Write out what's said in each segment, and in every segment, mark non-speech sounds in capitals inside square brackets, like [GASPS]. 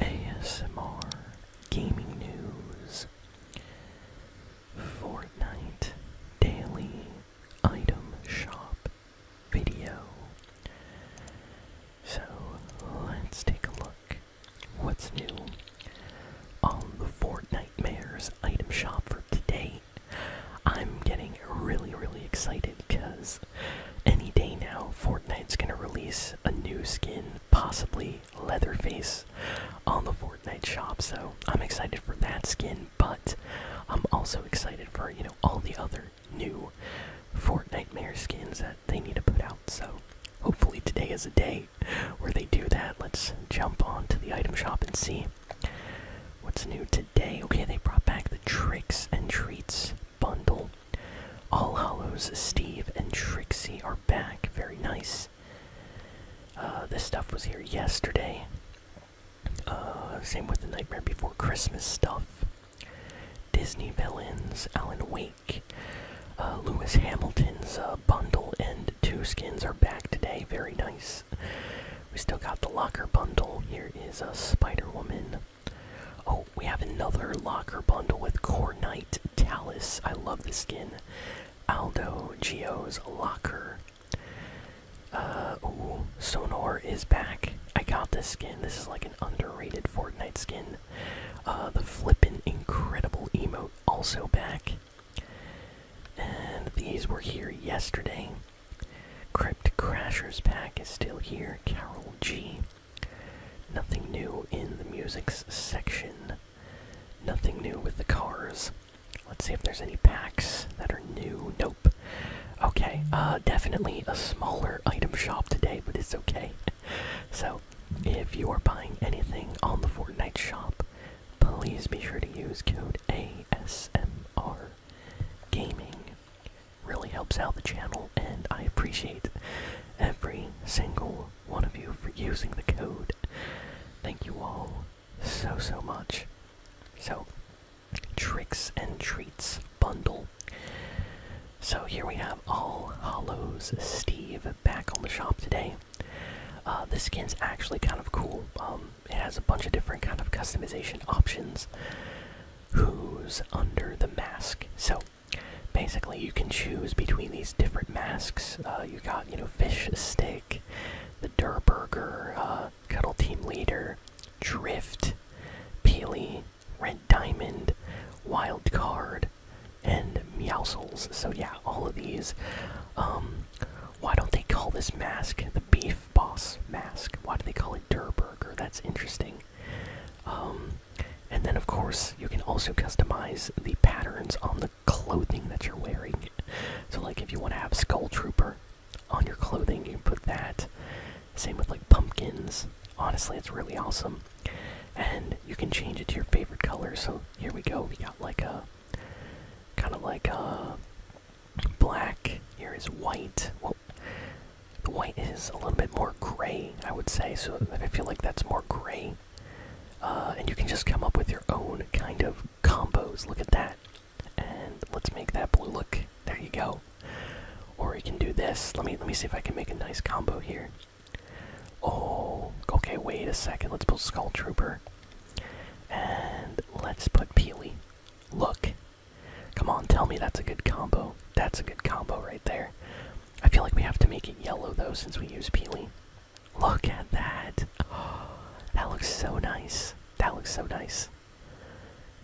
ASMR Gaming News Fortnite Daily Item Shop Video. So let's take a look. What's new on the Fortnite Mayor's Item Shop for today? I'm getting really, really excited because any day now Fortnite's gonna release a new skin, possibly Leatherface, on the Fortnite shop. So I'm excited for that skin, but I'm also excited for, you know, all the other new Fortnite Mare skins that they need to put out. So hopefully today is a day where they do that. Let's jump on to the item shop and see what's new today. Okay, they brought back the tricks and treats bundle. All Hollows, Steve, and Trixie are back. Very nice. Uh, this stuff was here yesterday. Uh, same with the Nightmare Before Christmas stuff. Disney villains, Alan Wake, uh, Lewis Hamilton's uh, bundle, and two skins are back today. Very nice. We still got the locker bundle. Here is a Spider Woman, Oh, we have another locker bundle with Core Knight Talus. I love the skin. Aldo Geo's locker. Uh, ooh, Sonor is back. I got this skin. This is like an underrated Fortnite skin. Uh, the flippin' incredible emote also back. And these were here yesterday. Crypt Crashers pack is still here. Carol G. Nothing new in the music's section. Nothing new with the cars. Let's see if there's any packs that are new. Nope. Okay, uh, definitely a smaller item shop today, but it's okay. [LAUGHS] so, if you are buying anything on the Fortnite shop, please be sure to use code ASMR Gaming Really helps out the channel, and I appreciate every single one of you for using the code. Thank you all so, so much. So, Tricks and Treats Bundle. So, here we have All Hollows Steve back on the shop today. Uh, this skin's actually kind of cool. Um, it has a bunch of different kind of customization options who's under the mask. So basically, you can choose between these different masks. Uh, you got, you know, Fish Stick, the Durburger, uh, Cuddle Team Leader, Drift, Peely, Red Diamond, Wild Card, and Meowsles. So yeah, all of these. Um, why don't they call this mask the Beef Boss Mask? Why do they call it Durburger? That's interesting. Um, and then, of course, you can also customize the patterns on the clothing that you're wearing. So, like, if you want to have Skull Trooper on your clothing, you can put that. Same with, like, pumpkins. Honestly, it's really awesome. And you can change it to your favorite color. So, here we go. We got, like, a kind of like a uh, black. Here is white. The white is a little bit more gray, I would say, so I feel like that's more gray. Uh, and you can just come up with your own kind of combos. Look at that. And let's make that blue look. There you go. Or we can do this. Let me let me see if I can make a nice combo here. Oh, okay, wait a second. Let's put Skull Trooper. And let's put Peely. Look, Come on, tell me that's a good combo. That's a good combo right there. I feel like we have to make it yellow though since we use Peely. Look at that. Oh, [GASPS] that looks so nice. That looks so nice.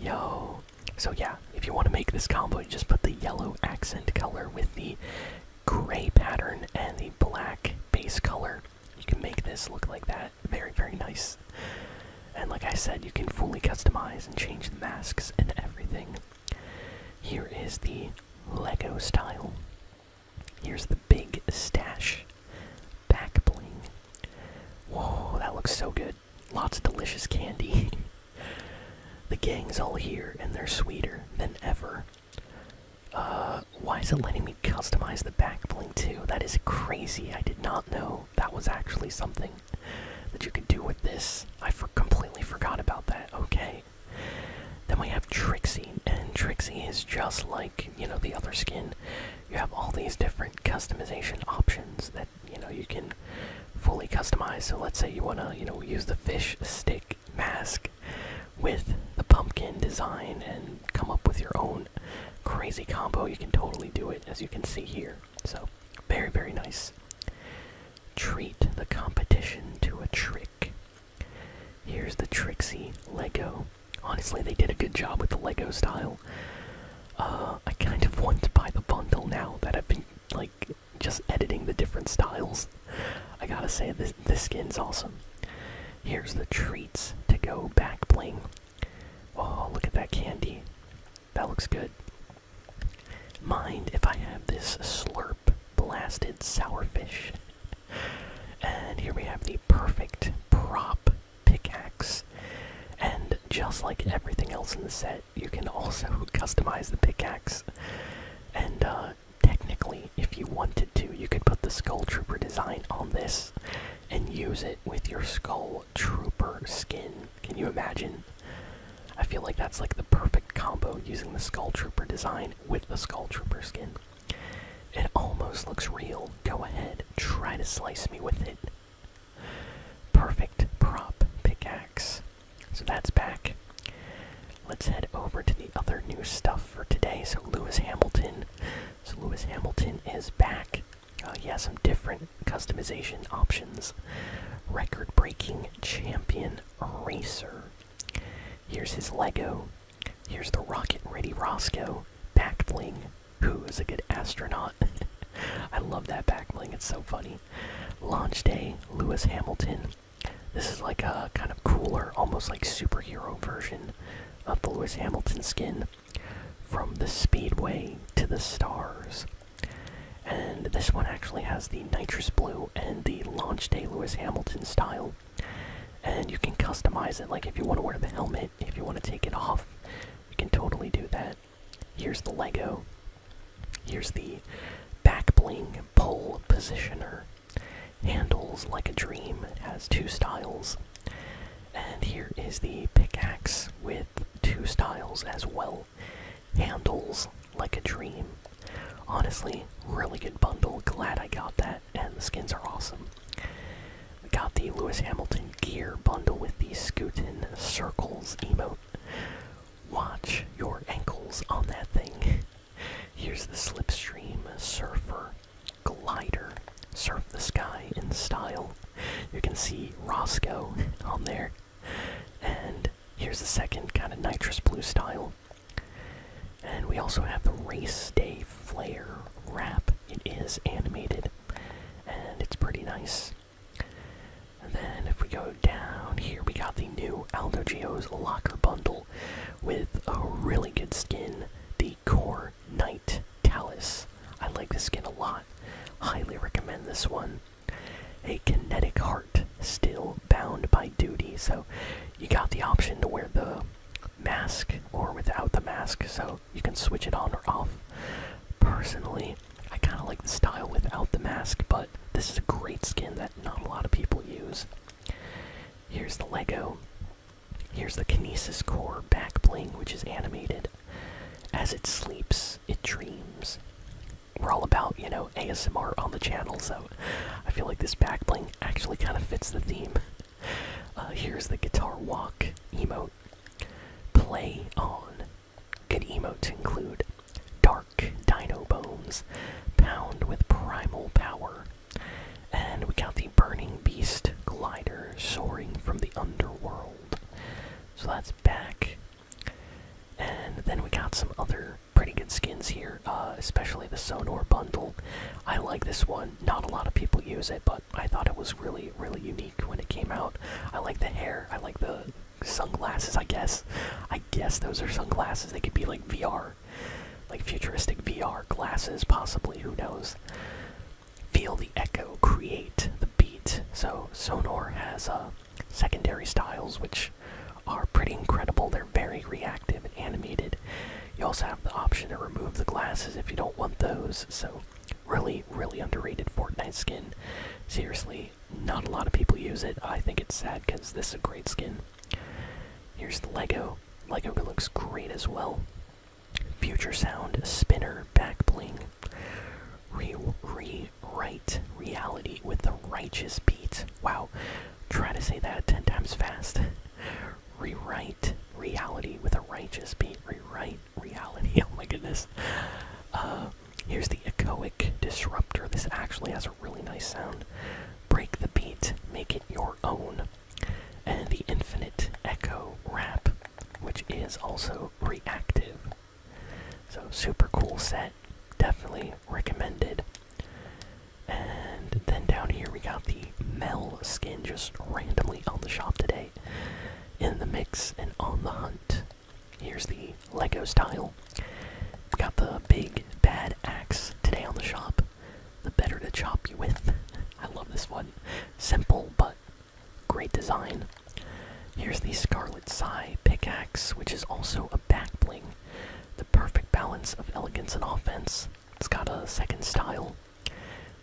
Yo. So yeah, if you want to make this combo, you just put the yellow accent color with the gray pattern and the black base color. You can make this look like that. Very, very nice. And like I said, you can fully customize and change the masks and everything. Here is the Lego style. Here's the big stash. Back bling. Whoa, that looks so good. Lots of delicious candy. [LAUGHS] the gang's all here, and they're sweeter than ever. Uh, why is it letting me customize the back bling too? That is crazy. I did not know that was actually something that you could do with this. I completely forgot about that. Okay. Then we have Trixie, and Trixie is just like, you know, the other skin. You have all these different customization options that, you know, you can fully customize. So let's say you want to, you know, use the fish stick mask with the pumpkin design and come up with your own crazy combo. You can totally do it, as you can see here. So, very, very nice. Treat the competition to a trick. Here's the Trixie Lego. Honestly, they did a good job with the Lego style. Uh, I kind of want to buy the bundle now that I've been, like, just editing the different styles. I gotta say, this, this skin's awesome. Here's the treats to go back bling. Oh, look at that candy. That looks good. Mind if I have this slurp blasted sourfish? And here we have the perfect prop pickaxe. And just like everything else in the set, you can also [LAUGHS] customize the pickaxe. And uh, technically, if you wanted to, you could put the skulltrooper design on this and use it with your Skull Trooper skin. Can you imagine? I feel like that's like the perfect combo using the Skull Trooper design with the Skull Trooper skin. It almost looks real. Go ahead, try to slice me with it. Perfect prop pickaxe. So that's back. Let's head over to the other new stuff for today. So Lewis Hamilton so Lewis Hamilton is back. Uh, he has some different customization options. Record-breaking champion racer. Here's his Lego. Here's the Rocket Ready Roscoe back Who is a good astronaut? [LAUGHS] I love that back It's so funny. Launch day. Lewis Hamilton. This is like a kind of cooler, almost like superhero version of the Lewis Hamilton skin from the Speedway to the Stars. And this one actually has the nitrous blue and the launch day Lewis Hamilton style. And you can customize it, like if you want to wear the helmet, if you want to take it off, you can totally do that. Here's the Lego. Here's the back bling pole positioner. Handles like a dream has two styles. And here is the pickaxe with two styles as well. Handles like a dream. Honestly, really good bundle. Glad I got that, and the skins are awesome. We got the Lewis Hamilton gear bundle with the Scootin Circles emote. Watch your ankles on that thing. Here's the Slipstream Surfer Glider. Surf the sky in style. You can see Roscoe on there. And here's the second kind of nitrous blue style. And we also have the Race Day Flare wrap. It is animated and it's pretty nice. And then if we go down here, we got the new Aldo Geo's Locker Bundle with a really good skin, the Core Knight Talus. I like this skin a lot. Highly recommend this one. A kinetic heart, still bound by duty. So you got the option to wear the mask or without the mask, so you can switch it on or off. Personally, I kind of like the style without the mask, but this is a great skin that not a lot of people use. Here's the Lego. Here's the Kinesis Core back bling, which is animated. As it sleeps, it dreams. We're all about, you know, ASMR on the channel, so I feel like this back bling actually kind of fits the theme. [LAUGHS] Uh, here's the guitar walk emote. Play on. Can emotes include Dark Dino Bones, Pound with Primal Power, and we got the Burning Beast glider soaring from the underworld. So that's back. And then we got some other pretty good skins here, uh, especially the Sonor bundle. I like this one. Not a lot of people use it, but I thought it was really, really unique when it came out. I like the hair. I like the sunglasses, I guess. I guess those are sunglasses. They could be like VR like futuristic VR glasses, possibly, who knows? Feel the echo, create the beat. So, Sonor has uh, secondary styles which are pretty incredible. They're very reactive and animated. You also have the option to remove the glasses if you don't want those. So, really, really underrated Fortnite skin. Seriously, not a lot of people use it. I think it's sad because this is a great skin. Here's the Lego. Lego looks great as well. Future Sound, Spinner, Back Bling. rewrite reality with the righteous beat. Wow. Try to say that 10 times fast. Rewrite reality with a righteous beat. Rewrite reality. [LAUGHS] Oh my goodness. Uh, here's the echoic disruptor. This actually has a really nice sound. Break the beat, make it your own. And the infinite echo wrap, which is also reactive. So, super cool set, definitely recommended. And then down here we got the Mel skin just randomly on the shop today. In the mix and on the hunt. Here's the Lego style Got the big bad axe today on the shop. The better to chop you with. I love this one. Simple but great design. Here's the Scarlet Sai pickaxe, which is also a back bling. The perfect balance of elegance and offense. It's got a second style.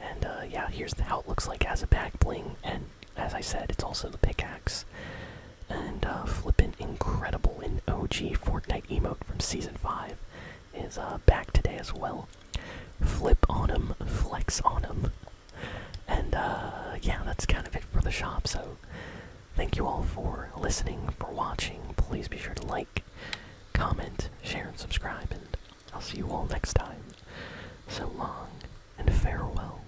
And uh, yeah, here's how it looks like as a back bling. And as I said, it's also the pickaxe. And uh, Flippin' Incredible, an OG Fortnite emote from Season 5, is uh, back today as well. Flip on him, flex on him. And uh, yeah, that's kind of it for the shop, so thank you all for listening, for watching. Please be sure to like, comment, share, and subscribe, and I'll see you all next time. So long, and farewell.